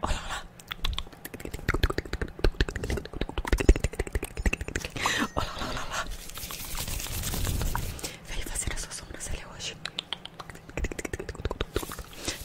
Olha lá. Olha lá, olha lá. Veio fazer a sua sobrancelha hoje.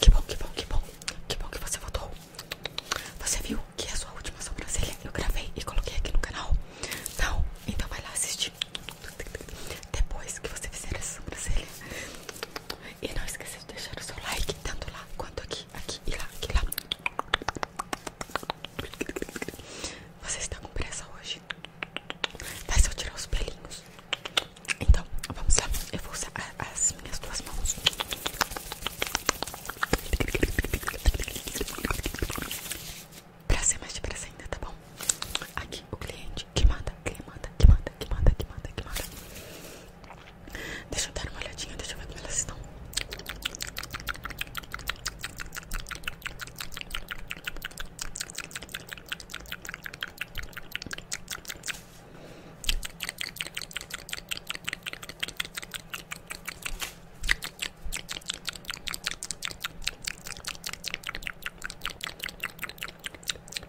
Que bom, que bom, que bom. Que bom que você voltou. Você viu que é a sua última sobrancelha eu gravei e coloquei aqui no canal? Não? Então vai lá assistir. Depois que você fizer essa sobrancelha, e não esqueça de deixar o seu like, tanto lá quanto aqui, aqui e lá, aqui lá. Você está com pressa hoje? Vai eu tirar os pelinhos. Então, vamos lá. Eu vou usar as minhas duas mãos. Pra ser mais de pressa ainda, tá bom? Aqui o cliente que manda, que manda, que manda, que manda, que manda, que manda. Deixa eu dar uma olhadinha, deixa eu ver como elas estão.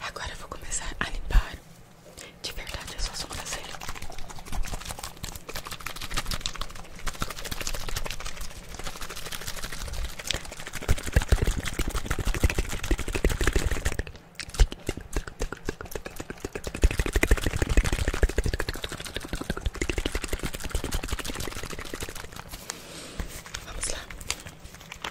Agora eu vou começar a limpar de verdade a sua sobrancelha. Vamos lá.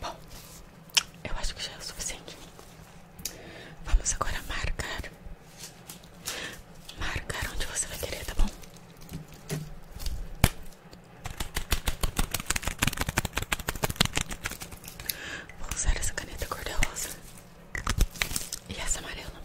Bom, eu acho que já é o suficiente. Vamos agora marcar. Marcar onde você vai querer, tá bom? Vou usar essa caneta cor-de-rosa e essa amarela.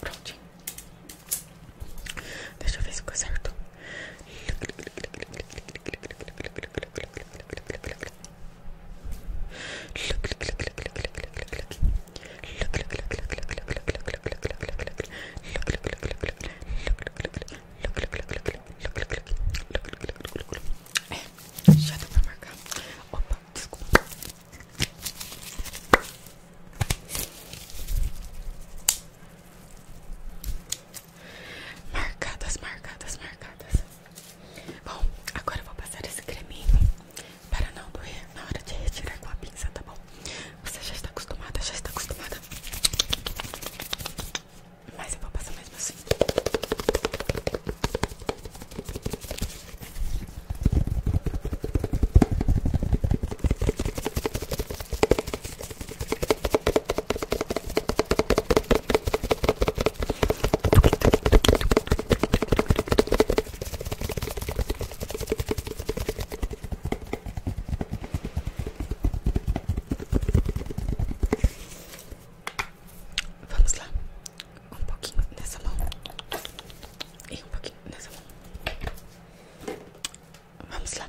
Prontinho. Deixa eu ver se ficou certo. É, já dá pra marcar. Opa, desculpa. Marcadas, marcadas, marcadas. Bom, agora eu vou passar esse creminho para não doer na hora de retirar com a pinça, tá bom? Você já está acostumada, já está acostumada. Mas eu vou passar mesmo assim. Vamos lá. Um pouquinho nessa mão. E um pouquinho nessa mão. Vamos lá.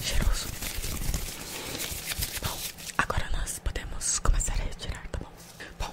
Cheiroso. Bom, agora nós podemos começar a retirar, tá bom? Bom,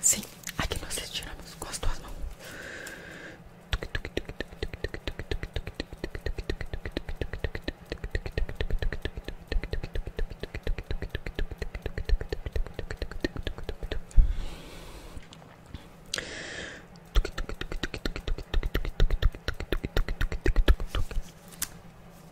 Sim, aqui nós estiramos com as duas mãos.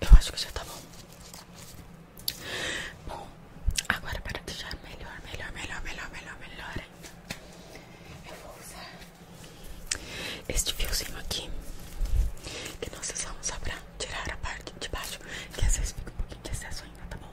Eu acho que já tá bom. Bom, agora para deixar melhor, melhor, melhor, melhor, melhor, melhor ainda, eu vou usar este fiozinho aqui que nós usamos só pra tirar a parte de baixo, que às vezes fica um pouquinho de excesso ainda, tá bom?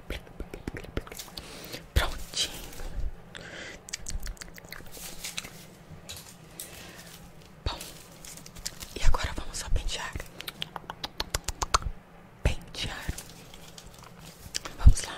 Prontinho. Bom, e agora vamos só pentear. Pentear. Vamos lá.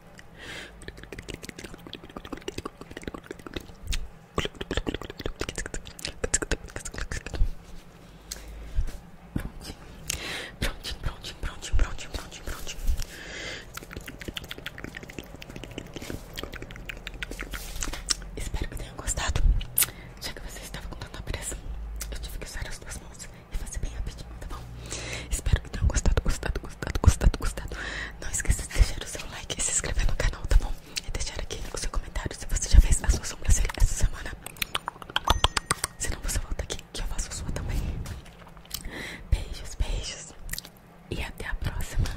Prontinho, prontinho, prontinho, prontinho, prontinho, prontinho. Espero que tenham gostado. Já que vocês estavam com tanta pressa, eu tive que usar as duas mãos e fazer bem rapidinho, tá bom? Espero que tenham gostado, gostado, gostado, gostado, gostado. Não esqueça de deixar o seu like e se inscrever no canal, tá bom? E deixar aqui o seu comentário se você já fez a sua sobrancelha essa semana. Se não, você volta aqui que eu faço a sua também. Beijos, beijos e até a próxima.